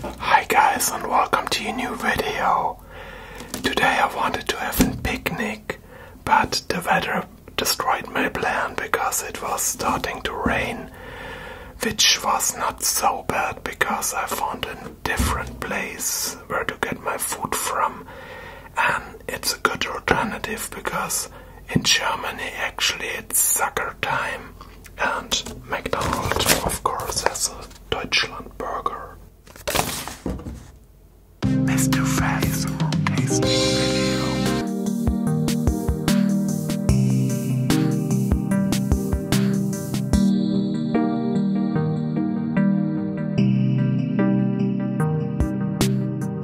Hi guys and welcome to a new video. Today I wanted to have a picnic, but the weather destroyed my plan because it was starting to rain, which was not so bad because I found a different place where to get my food from and it's a good alternative because in Germany actually it's Sucker Time and McDonald's of course has a Deutschland burger.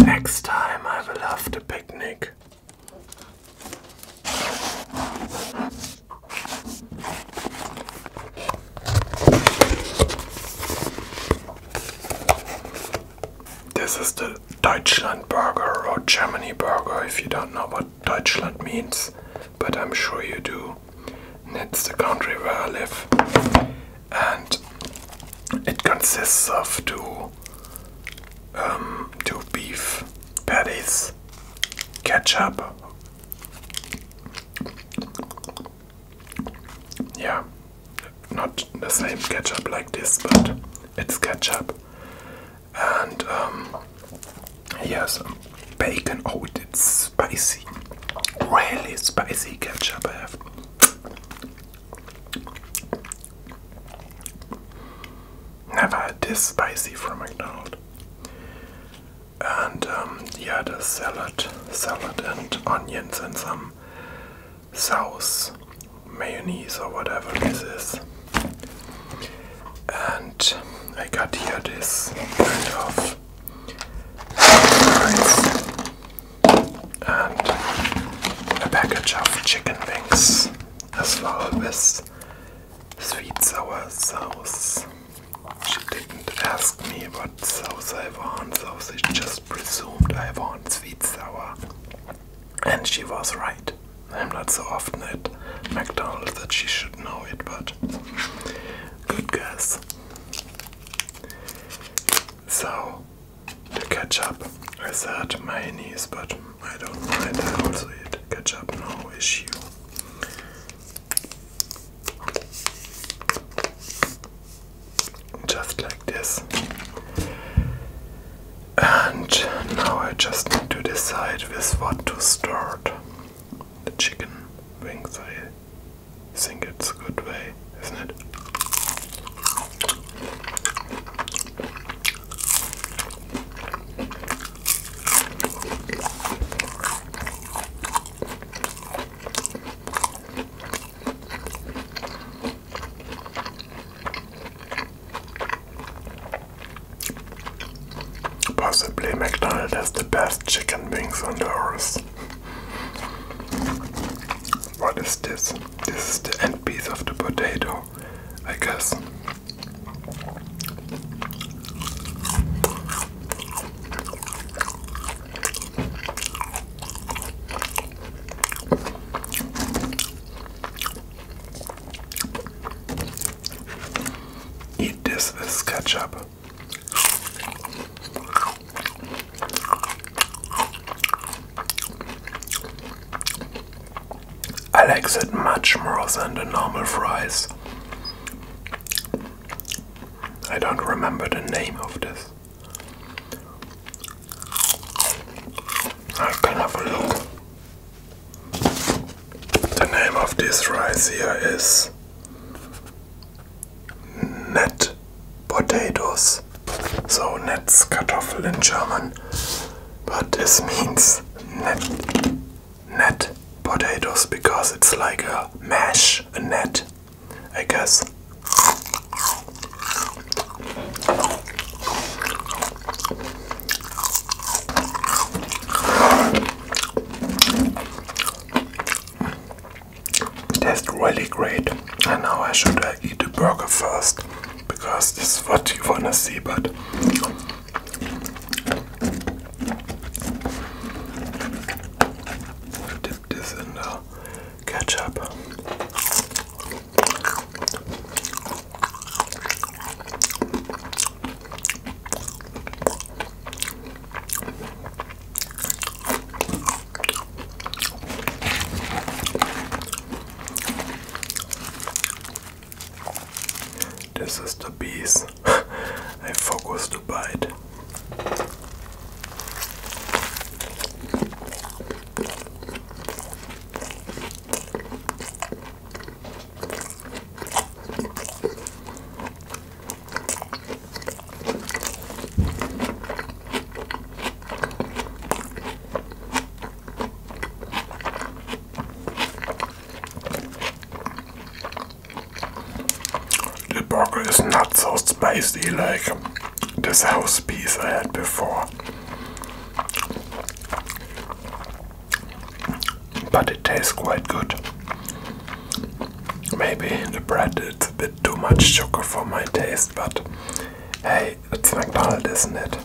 Next time I will have picnic. This is the Deutschland burger or Germany burger if you don't know what Deutschland means but I'm sure you do. And it's the country where I live, and it consists of two, um, two beef patties, ketchup. Yeah, not the same ketchup like this, but it's ketchup and um, yes, bacon. Oh, it's spicy, really spicy ketchup. I have. Never had this spicy from McDonald's. And um, yeah, the salad, salad and onions and some sauce, mayonnaise or whatever this is. And I got here this kind of rice and a package of chicken wings as well with sweet sour sauce. She didn't ask me what sauce I want, so she just presumed I want sweet sour. And she was right. I'm not so often at McDonald's that she should know it, but good guess. So, the ketchup, I said mayonnaise, but I don't mind. I also eat ketchup, no issue. Just like this. And now I just need to decide with what to start. The chicken wings, I think it's a good way, isn't it? Possibly McDonald's has the best chicken wings on the earth. What is this? This is the end piece of the potato, I guess. Eat this, this ketchup. I like it much more than the normal fries. I don't remember the name of this. I can have a look. The name of this rice here is net potatoes. So net's Kartoffeln in German. But this means net net potatoes because it's like a mash, a net, I guess. That's really great. I know I should uh, eat the burger first because this is what you wanna see, but. Dip this in uh, ketchup. This is the bees. I focus to bite. The burger is not so spicy like this house piece I had before. But it tastes quite good. Maybe in the bread it's a bit too much sugar for my taste, but hey, it's McDonald's, isn't it?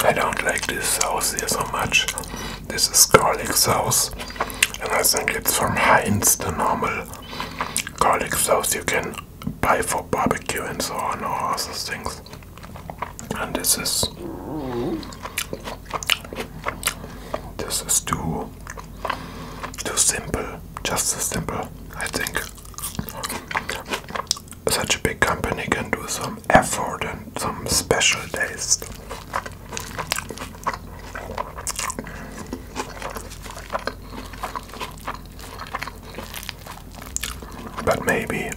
I don't like this sauce here so much. This is garlic sauce, and I think it's from Heinz, the normal garlic sauce you can buy for barbecue and so on, all those things. And this is this is too too simple, just too simple, I think. Such a big company can do some effort and some special days. But maybe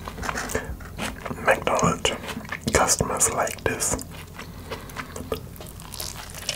McDonald's customers like this.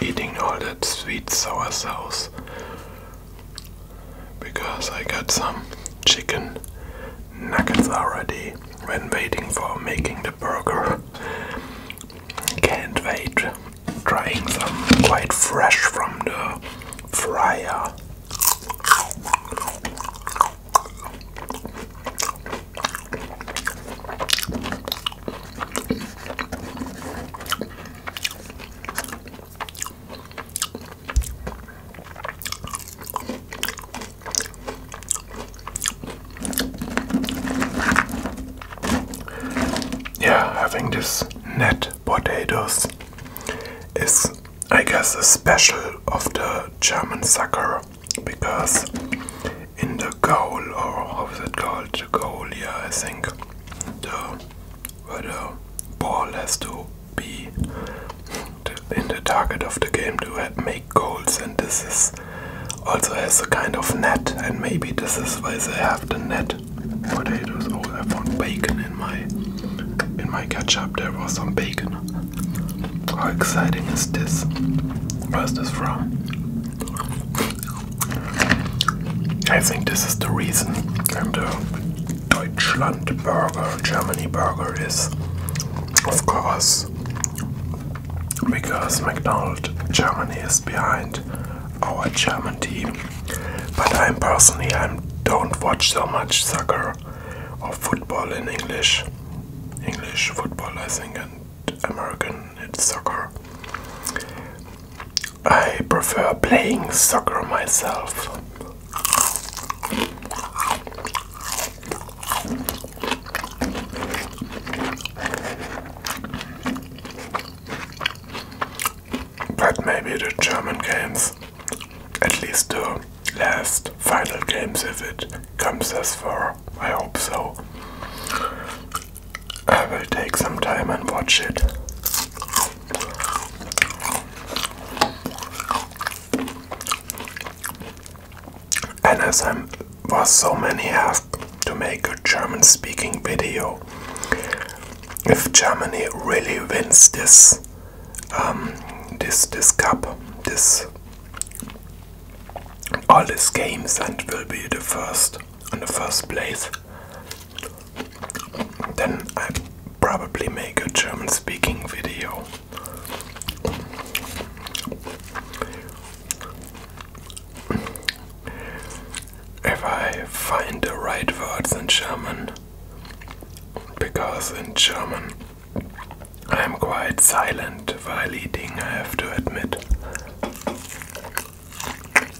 Eating all that sweet sour sauce because I got some chicken nuggets already when waiting for making the burger. Can't wait. Trying some quite fresh from the fryer. Yeah, having this net potatoes is, I guess, a special of the German soccer because in the goal, or how is it called? The goal, yeah, I think the where the ball has to be in the target of the game to make goals and this is also has a kind of net and maybe this is why they have the net potatoes oh I found bacon in my in my ketchup there was some bacon how exciting is this where's this from I think this is the reason and uh, Deutschland burger, Germany burger is, of course, because McDonald's Germany is behind our German team. But I'm personally, I don't watch so much soccer or football in English. English football, I think, and American it's soccer. I prefer playing soccer myself. But maybe the German games, at least the last final games, if it comes this far, I hope so. I will take some time and watch it. And as I was so many have to make a German speaking video, if Germany really wins this, um, this, this cup, this, all these games and will be the first, on the first place, then I probably make a German speaking video. If I find the right words in German, because in German I'm quite silent while eating, I have to admit.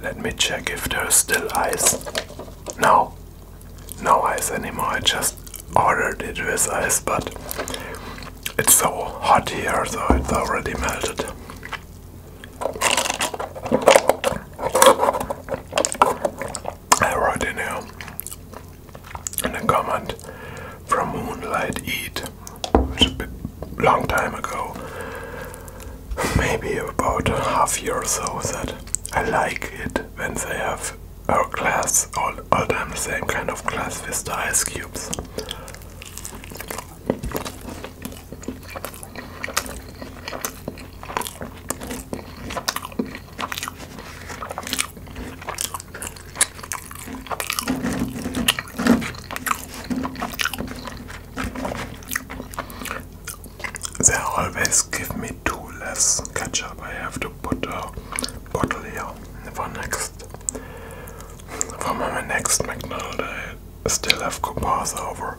Let me check if there's still ice. No, no ice anymore. I just ordered it with ice, but it's so hot here, so it's already melted. I wrote in a comment from Moonlight Eat, which is a long time ago, maybe about half year or so, that I like it when they have our class, all, all time the same kind of class with the ice cubes. They always give me two less ketchup. I have to put a bottle here for next for my next McDonald's. I still have coupons over.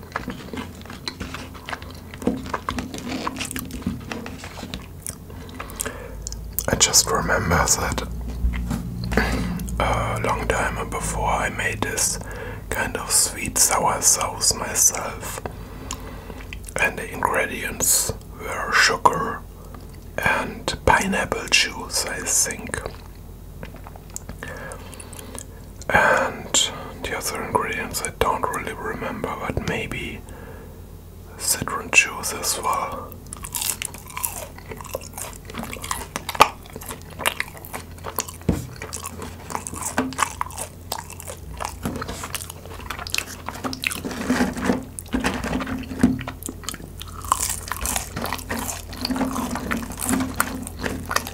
I just remember that uh, a long time before I made this kind of sweet sour sauce myself, and the ingredients were sugar and pineapple juice, I think. And the other ingredients I don't really remember, but maybe citron juice as well.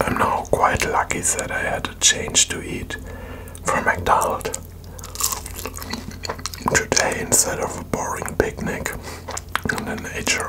I'm now quite lucky that I had a change to eat from McDonald's today instead of a boring picnic in the nature.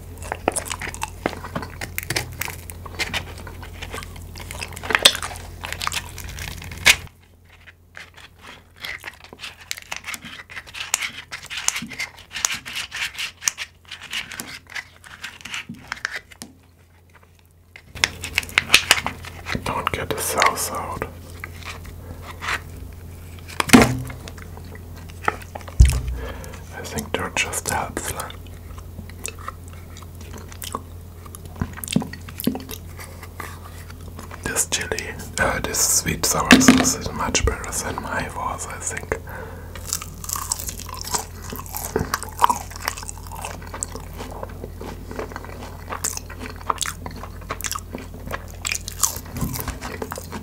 Don't get the cells out. I think they're just helps. This chili, uh, this sweet sour sauce is much better than my was, I think.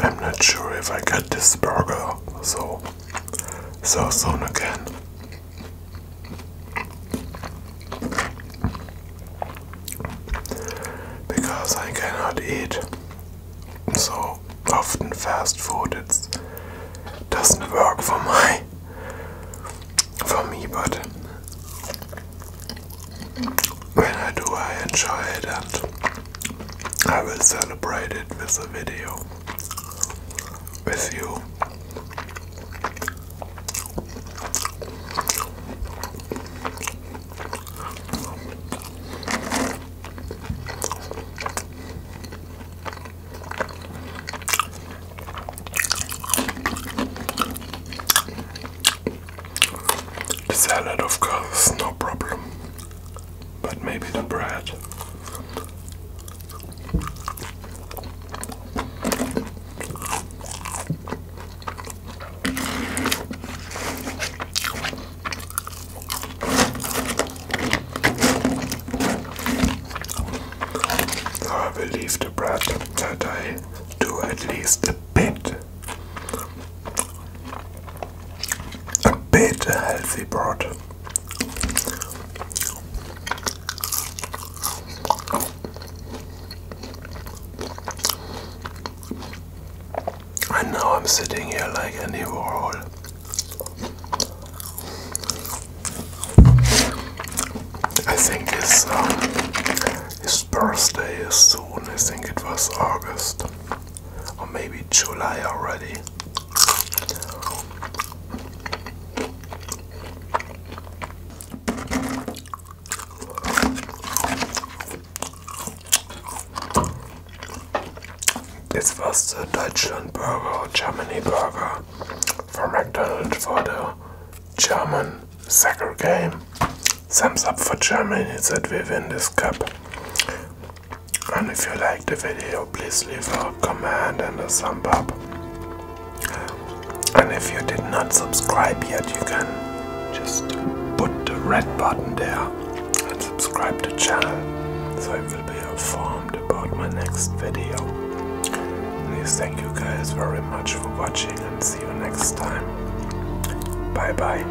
I'm not sure if I got this burger so so soon again. Because I cannot eat so often fast food, it doesn't work for my for me, but when I do, I enjoy it and I will celebrate it with a video with you salad, of course, no problem, but maybe the bread. I believe the bread that I do at least a bit, a bit healthy bread. And now I'm sitting here like any Warhol. I think it's uh, his birthday is soon. I think it was August or maybe July already. This was the Deutschland Burger or Germany Burger for McDonald's for the German soccer game. Thumbs up for Germany that we win this cup. And if you like the video, please leave a comment and a thumb up. And if you did not subscribe yet, you can just put the red button there and subscribe to the channel. So it will be a fun about my next video. Please thank you guys very much for watching and see you next time. Bye bye.